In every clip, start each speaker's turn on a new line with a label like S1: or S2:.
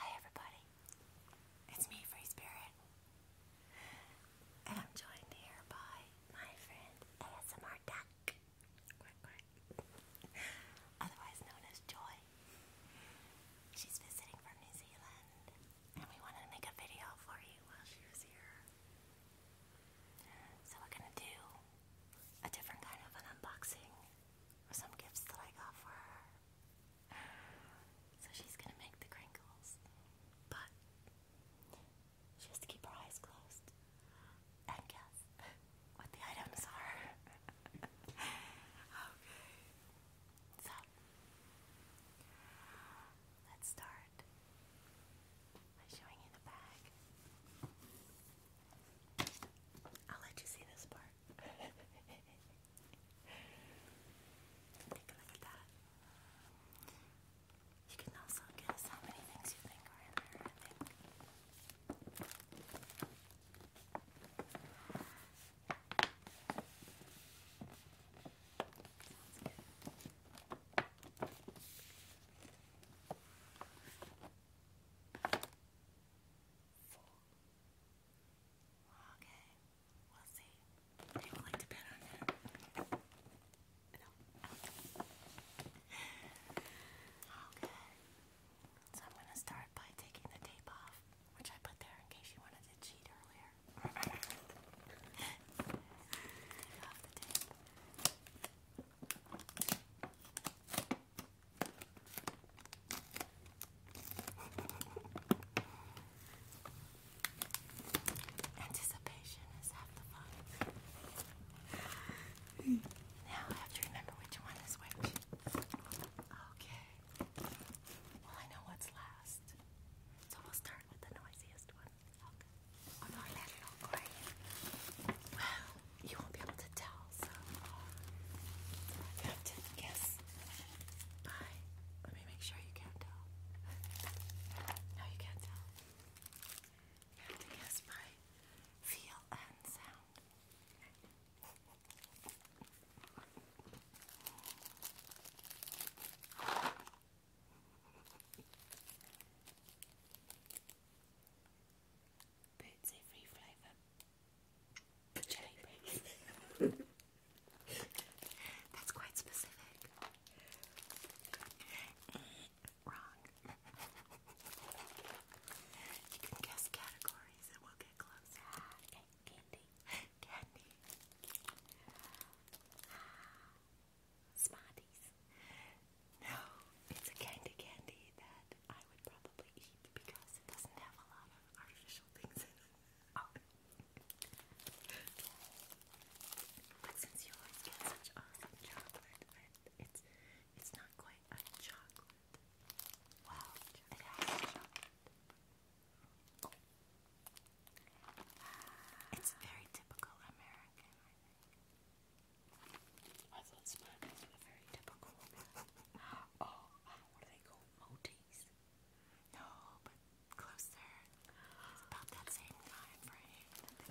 S1: Hi, everybody. It's me, Free Spirit. And I'm joined here by my friend ASMR Duck. otherwise known as Joy. She's visiting from New Zealand, and we wanted to make a video for you while she was here. So we're gonna do a different kind of an unboxing of some gifts that I got for her. So she's gonna make the crinkles, but she keep her eyes closed and guess. what the items are. okay. So, let's start by showing you the bag. I'll let you see this part. Take a look at that. You can also guess how many things you think are in there, I think. Okay, we'll see. I would like to bet on that. No. Okay. So I'm gonna start by taking the tape off, which I put there in case you wanted to cheat earlier. Take off the tape. Anticipation is half the fun. now I have to remember which one is which. Okay. Well, I know what's last. So we'll start with the noisiest one. Okay. Oh, no, I it all go Well, you won't be able to tell, so guess. Bye. Let me make sure you can't tell. no, you can't tell. guess by feel and sound. Boots every flavour. Jelly beans. That's quite specific. Wrong you can guess categories and we'll get close. Ah, candy. Candy. Smarties. No, it's a candy candy that I would probably eat because it doesn't have a lot of artificial things in it. Oh. But since you always get such awesome chocolate, it's it's not quite a chocolate Wow, It's very typical American, I thought Smarties were very typical oh, what are they called? No, but closer. about that same time frame that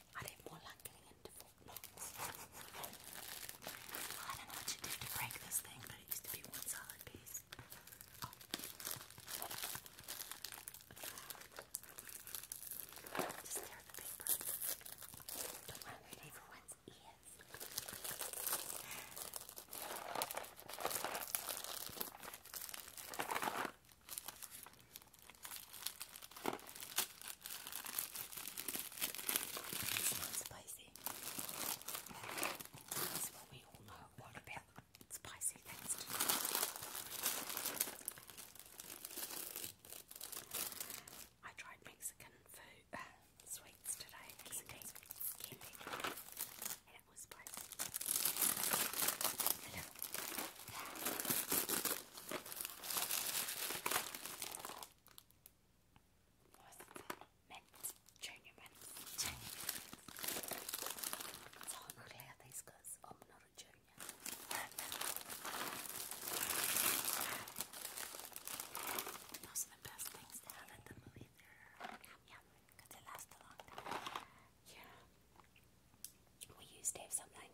S1: I didn't more like getting into forklocks. I don't know what you do to break this thing, but it used to be one solid piece. Just stare the paper. Don't want to read everyone's ears. It's not spicy. That's what we all know about spicy things I tried Mexican food, uh, sweets today, candy, it was spicy. What was it? Junior mint. Junior mint. It's hard to clear I'm not a junior. Those are the best things to have at the movie theater. Yum they last a long time yeah, we used to have something.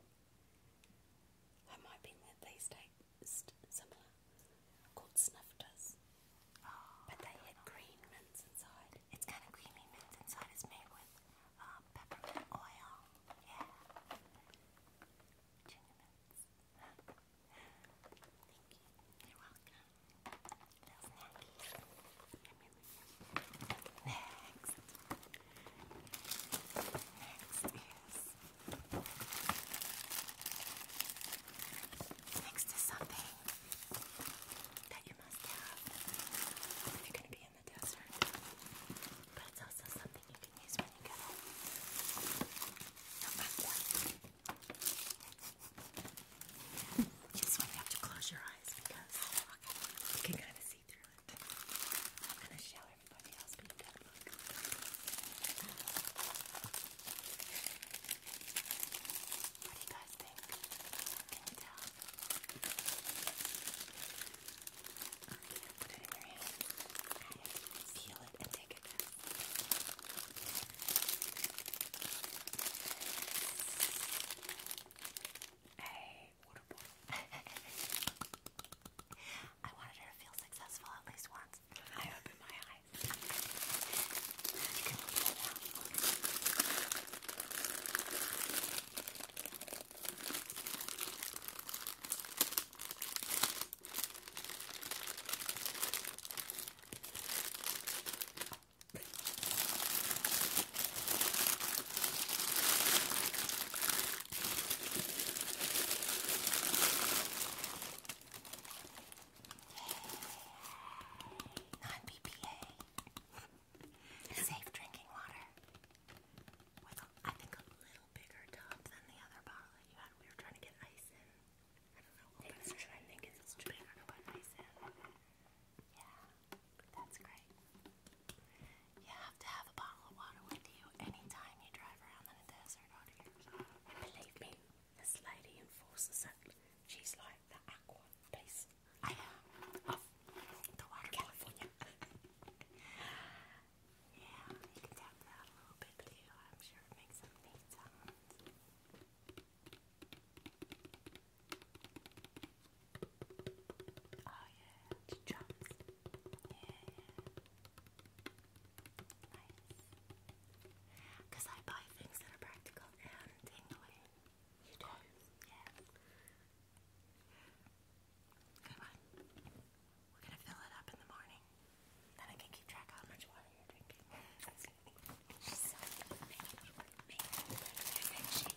S1: I might be in that similar, called snifters. Oh, but they had green mints inside. It's kind of creamy mint inside. It's made with um, peppermint oil. Yeah. Next. Next is. Next is something that you must have if you're going to be in the desert. But it's also something you can use when you get home. Number one. Just when you have to close your eyes because you can kind of see. I'm gonna show everybody else What do you guys think? Can you tell? put it in your hand feel it and take it back a I wanted her to feel successful at least once. I opened my eyes. You Non BPA. Safe drinking water. With, a, I think, a little bigger tub than the other bottle that you had. We were trying to get ice in. I don't know. Open it. I think it's bigger to put ice in. Yeah that's great. You have to have a bottle of water with you anytime you drive around in the desert out here. believe me, this lady enforces it. She's like the aqua police. of the water California. yeah, you can tap that a little bit I'm sure it makes some neat sounds. Oh yeah, the drums. Yeah, nice. Cause I buy things that are practical and tingly. You do? Yeah. Come on. We're gonna fill it up in the morning. Then I can keep track how much water you're drinking.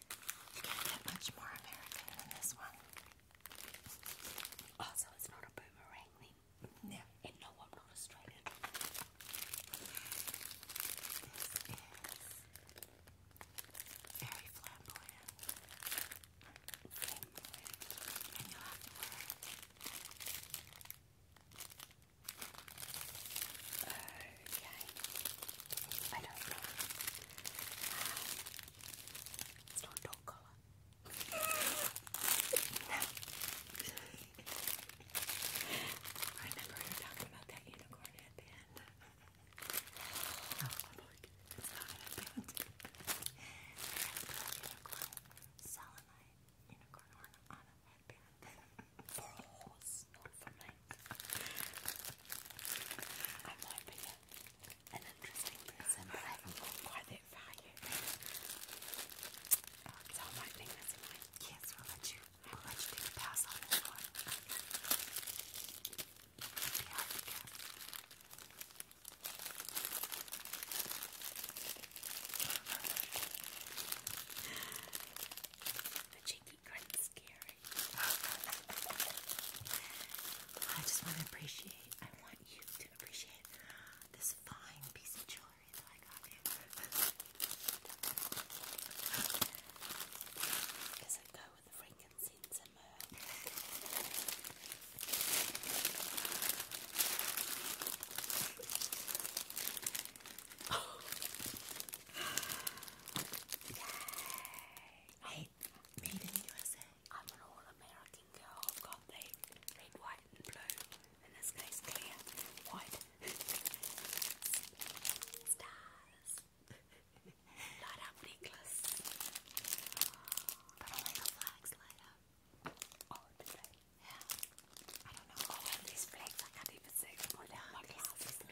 S1: You can't get much more American than this one. Also, it's not a boomerang thing. No. And no, I'm not Australian. This is very flamboyant. you okay. I don't know. Um, it's not a dog I remember talking about that unicorn at the oh, I'm like, it's not at the end. unicorn, Solomite unicorn on a headband for a not for me. I might be an interesting person, but I haven't got quite that far oh, I might think that's a mine. Yes, we'll let you, we'll let you take a pass on this one. The cheeky grin's scary. I just want to appreciate, I want you to appreciate this fine piece of jewelry that I got you. Does it go with the frankincense and myrrh? Oh. Yay! Made in USA. I'm an all American girl. I've got the red, white, and blue. In this case, clear, white. Stars. light up necklace. But only the flags light up. Oh, do Yeah. I don't know. Oh, all of these I can't even see them without my glasses.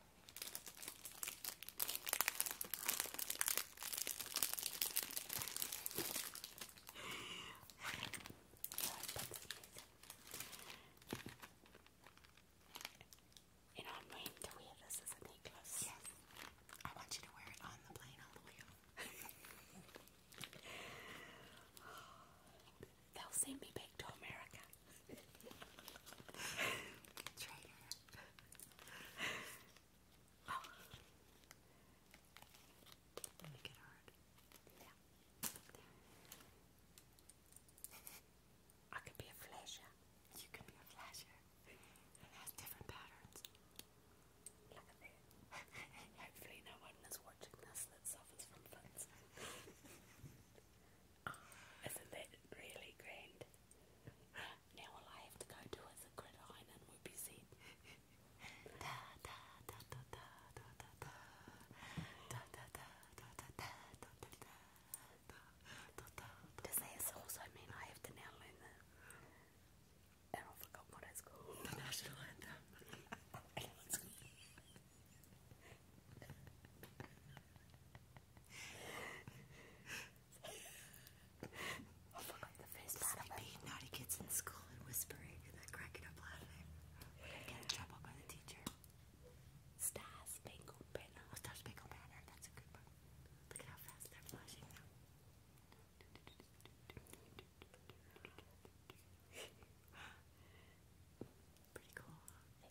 S1: And I'm going to wear as a I want you to wear it on the plane all the way home. They'll send me back to America. Traitor. I could be a flasher. You could be a flasher. It has different patterns. Look at that. Hopefully no one is watching this that suffers from fits. Isn't that really grand? Now all I have to go do is a gridiron and we'll be set. da da da also mean I have to now learn the... And I forgot what it's called. The national anthem. Sleepy, naughty kids in school and whispering and cracking up laughing. We're gonna get in trouble by the teacher. Star Spangled Banner. Oh, That's a good one. Look at how fast they're flashing now. Pretty cool.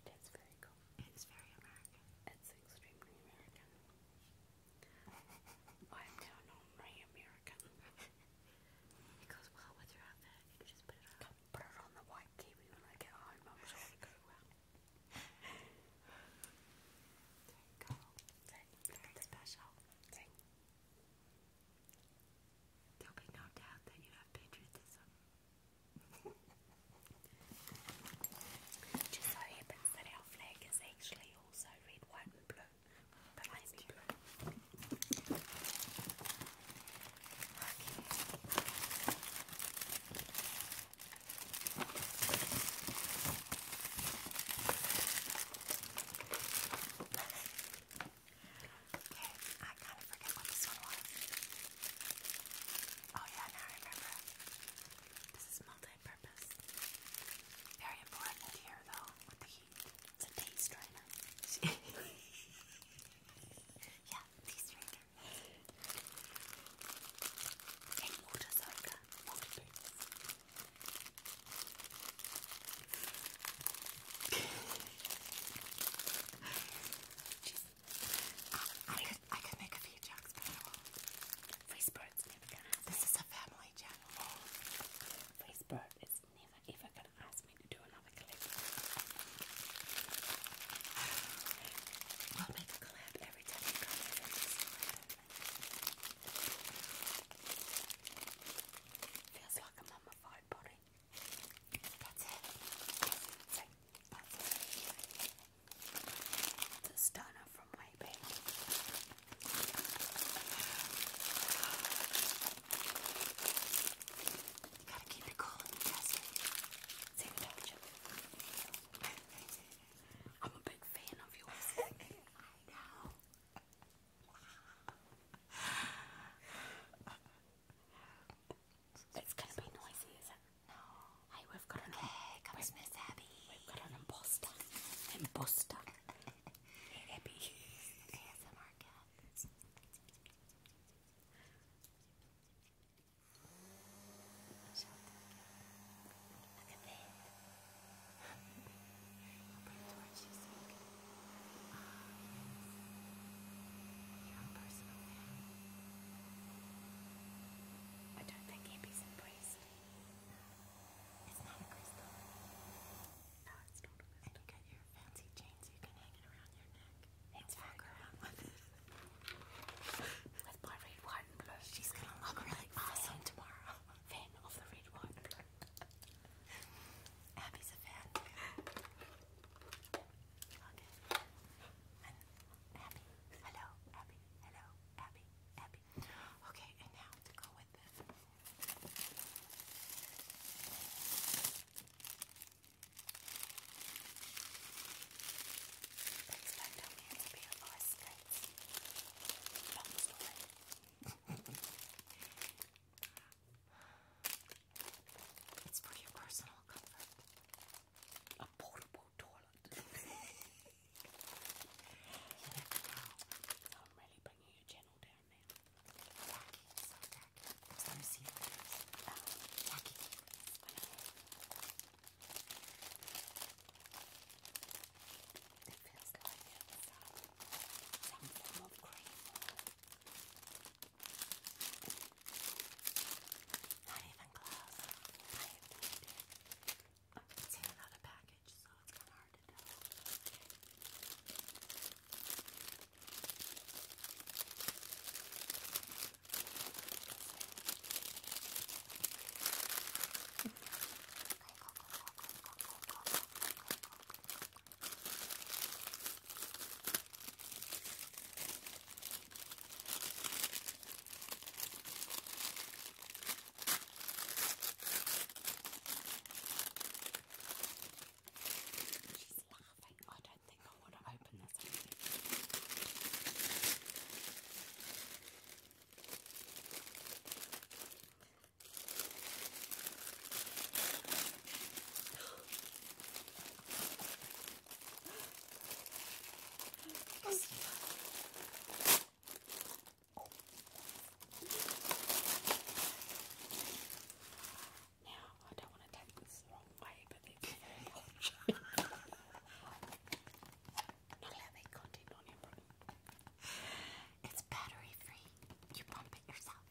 S1: It is very cool. It is very American. It's extremely American. I'm down on my American. it goes well with your outfit. You can just put it on. put it on the white kiwi when I get home. i it'll well. There you Very special. There'll be no doubt that you have patriotism. Just so happens that our flag is actually also red, white, and blue, but mainly blue. Okay, I kind of forget what this one was. Oh yeah, now I remember. This is multi-purpose. Very important here though, with the heat. It's a taste yeah, taste And water soda. Water boots. I, could, I could make a few jokes, but I never This is a family channel. Facebook is never ever gonna ask me to do another collab. I'll make a collab every time you come over. Feels like I'm body. That's The stunner from my baby. You gotta keep it cool Same touch. I'm a big fan of yours. I know. It's gonna be noisy, is it? No. Hey, we've got an okay, we've, got an imposter. Imposter. hey, Abby. ASMR cat. Look at that. I don't think hippies embraced. It's a crystal. it's not a crystal. And you got your fancy chain so you can hang it around your neck. It's walk around with it. with my red, white, and blue. She's gonna look really awesome tomorrow. Fan of the red, white, and blue. Abby's a fan. Okay. And Abby, hello, Abby, hello, Abby, Abby. Okay, and now to go with this. Let's find out where it's available as nights. Long story. It's for your personal comfort. A portable toilet. you I'm really bringing your channel down now. Tacky, so tacky. Oh, i not even close. I have made it. It's in another package, so it's kind of hard to tell. Okay. She's laughing. I don't think I want to open this. Now, I don't want to take this the wrong way, but they can Not allow that content on everyone. It's battery free. You pump it yourself.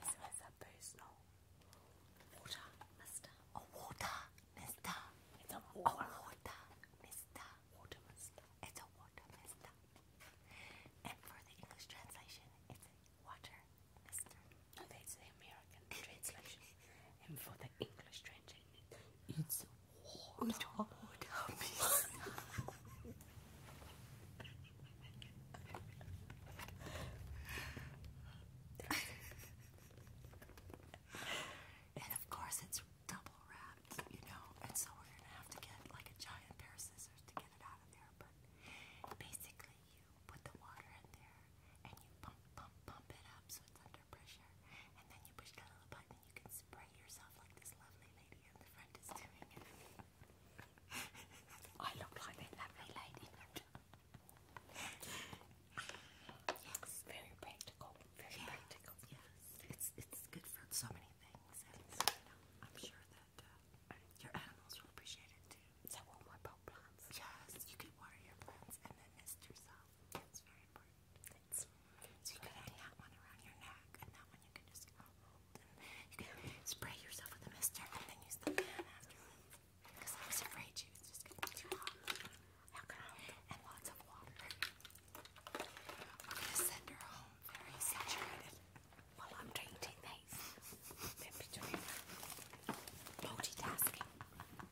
S1: This is a personal Water, mister. Oh, water, mister. It's a water. Oh, water, mister. Water, mister. It's a water, mister. And for the English translation, it's water, mister. No, that's the American translation. And for the English translation, it's water, water mister. and of course, it's double wrapped, you know, and so we're gonna have to get like a giant pair of scissors to get it out of there. But basically, you put the water in there and you pump, pump, pump it up so it's under pressure, and then you push that little button and you can spray yourself like this lovely lady in the front is doing I look like a lovely lady. Yes. Very practical. Very practical. Yes. It's it's good for so many things. I'm sure that uh, your animals will appreciate it too. So will my pot plants. Yes, you can water your plants and then nest yourself. That's very important. so you can hang one around your neck and that one you can just hold you can spray yourself with a mister and then use the fan afterwards. Because I was afraid she was just going too hot. And lots of water. I'm going to send her home very saturated while I'm painting these. In between multitasking.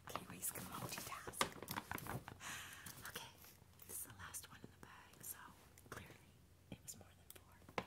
S1: Kiwis can Okay, this is the last one in the bag, so clearly it was more than four.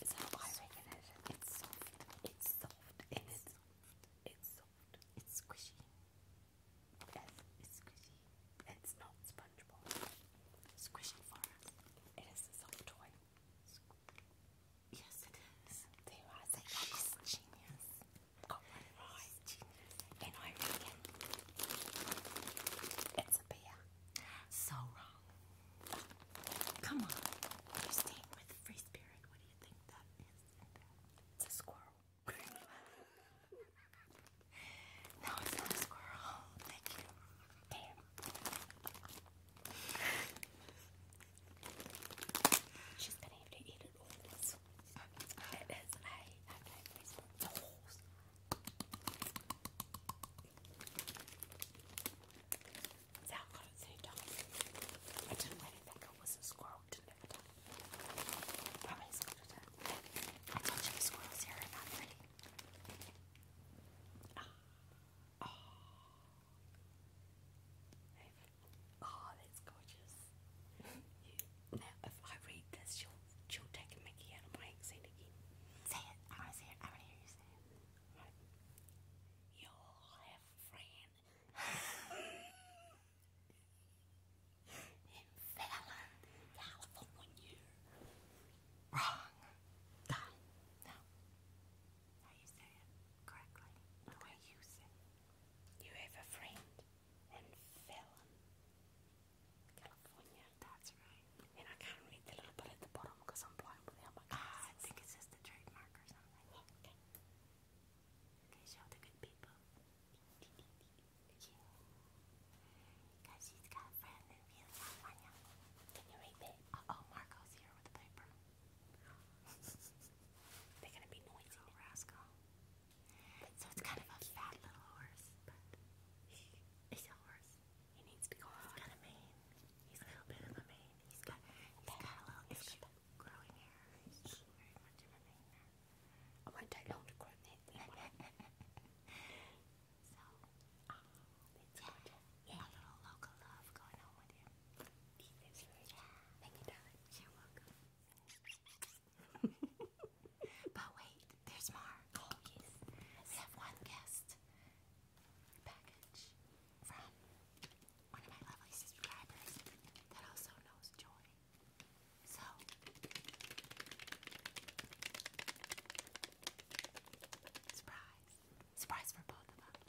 S1: It's how I reckon it. It's soft. It's soft. It's it's soft. It's soft. It's squishy. Yes, it's squishy. It's not spongeable. Squishy for us. It is a soft toy. Yes, it is. There I say, she's genius. Got one right. Genius. And I reckon it's a bear. So wrong. Come on. You're staying with free spirit. What do you think that is? It's a squirrel. no, it's not a squirrel. Damn. She's gonna have to eat it all. It's a horse. Sal I didn't let think I was a squirrel. did I told you squirrels here are not pretty. Oh. Oh. that's gorgeous. now, if I read this, you'll, you'll take mickey out of my accent again. Say it. I want to say I want to hear you say it. You have a friend in Fallon, California. Wrong. no. How you say it correctly? The you say it. You have a friend in Fallon, California that's right. And I can't read the little bit at the bottom because I'm blind without my glasses. Ah, I think it's just a trademark or something. Yeah, okay. show the good people. Because he's got a friend and he Can you read it? Uh oh, Marco's here with the paper. They're gonna be noisy. rascal. so it's kind of a fat little horse, but it's a horse. He needs to go He's got a mane. He's a little bit of a mane. He's got, he's got a little issue growing hair. very much of a mane now. I want to learn to grow that So, um, yeah. a little local love going on with him. He lives for Thank you, darling. You're welcome. but wait, there's more. Oh, we have one guest package from one of my lovely subscribers that also knows joy. So, surprise. Surprise for both of us.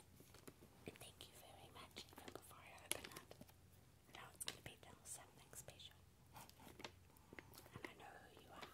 S1: And thank you very much even before I open it. Now it's going to be something special. And I know who you are.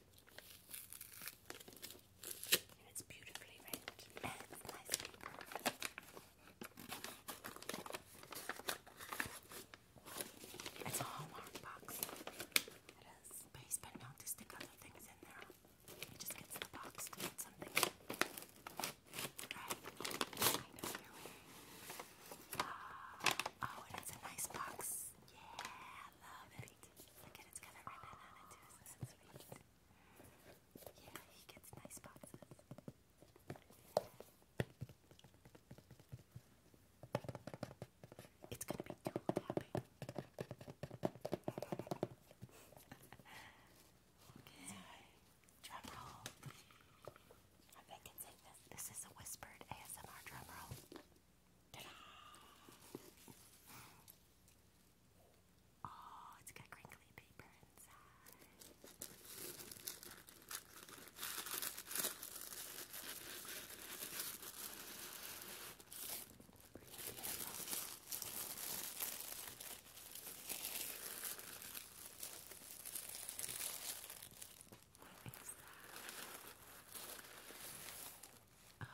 S1: it's beautifully wrapped. it's a Hallmark box. It is. But he's been known to stick other things in there. He just gets the box something Right? I know uh, oh, and it's a nice box. Yeah, I love it. Look at it's got a ribbon on it too, is Yeah, he gets nice boxes. It's gonna be dual tapping. okay. Drum roll. I bet I this. This is a whispered ASMR drum roll. Oh, it's got crinkly paper inside. What is that? Oh.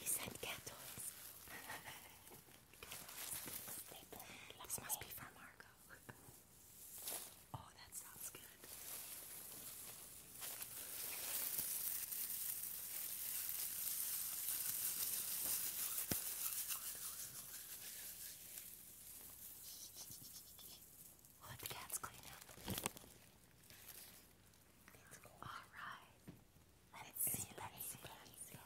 S1: you sent cat toys. this must be for Marco. oh, that sounds good. We'll let the cats clean up. All right. Let's see. Let's see.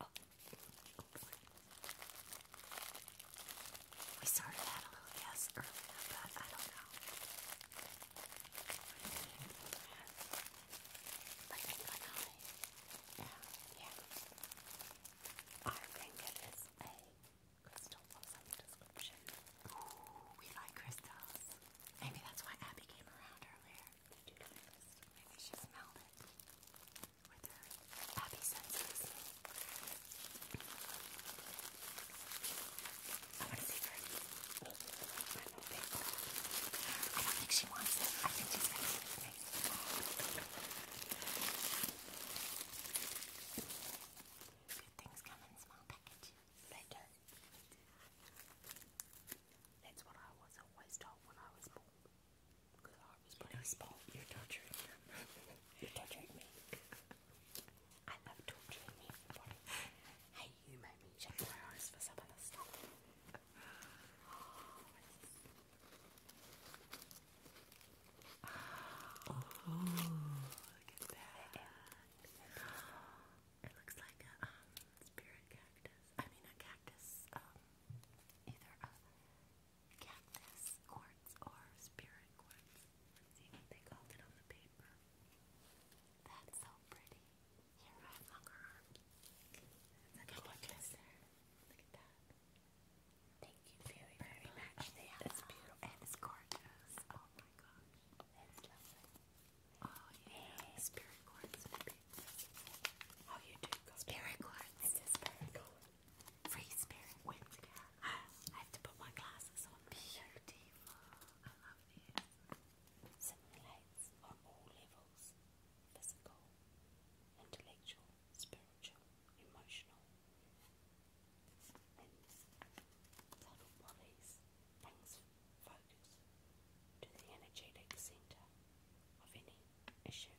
S1: Oh. We sort a little guess early, but I don't know. Yeah. Yeah. I think it is a Crystal Blossom description. Ooh, we like crystals. Maybe that's why Abby came around earlier. Maybe she smelled it with her Abby senses. I want to see her. I don't think she wants it. I think she's going to me. Good things come in small packages. They That's what I was always told when I was born. Because I was born. You you're torturing them. you're torturing me. I love torturing everybody. hey, you made me check my eyes for some of stuff. Oh, it looks like a um, spirit cactus. I mean, a cactus. Um, either a cactus quartz or spirit quartz. see what they called it on the paper. That's so pretty. Here, I have longer Look at that. Thank you very, very much. They beautiful and it's gorgeous. Oh my gosh, Oh yeah, spirit quartz Oh, you do spirit quartz. It's a spirit quartz. Free spirit. When I have to put my glasses on. Beautiful. I love these. Simulates on all levels: physical, intellectual, spiritual, emotional. Saddle Polly's brings focus to the centre of any issue,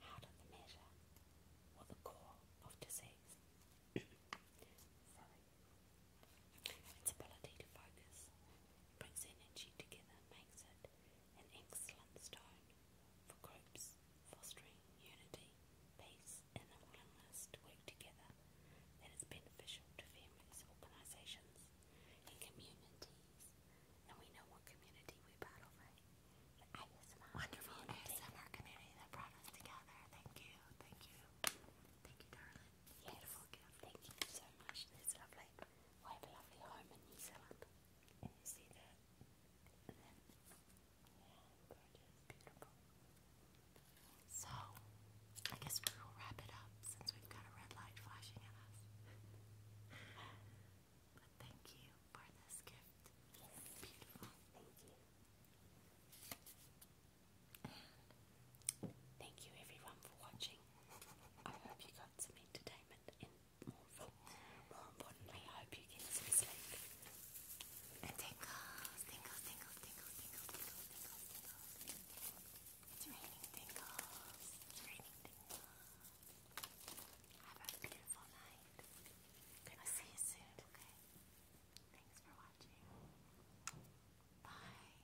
S1: heart of the matter, or the core of disease. Its ability to focus brings energy together, makes it an excellent stone for groups fostering unity, peace, and willingness to work together that is beneficial to families, organisations, and communities. And we know what community we're part of, right? The ASMR community. that brought us together. Thank you, thank you. Thank you, darling. Beautiful gift. Thank you so much. That's lovely. I have a lovely home in New Zealand. And you see so, I guess we will wrap it up since we've got a red light flashing at us. but thank you for this gift. beautiful. Thank you. thank you everyone for watching. I hope you got some entertainment more, importantly, I hope you get some sleep. And tingles, tingles, tingles, tingles, tingles, tingles, tingles, It's raining tingles. It's raining tingles. Have a beautiful night. I'll see you soon, okay? Thanks for watching. Bye.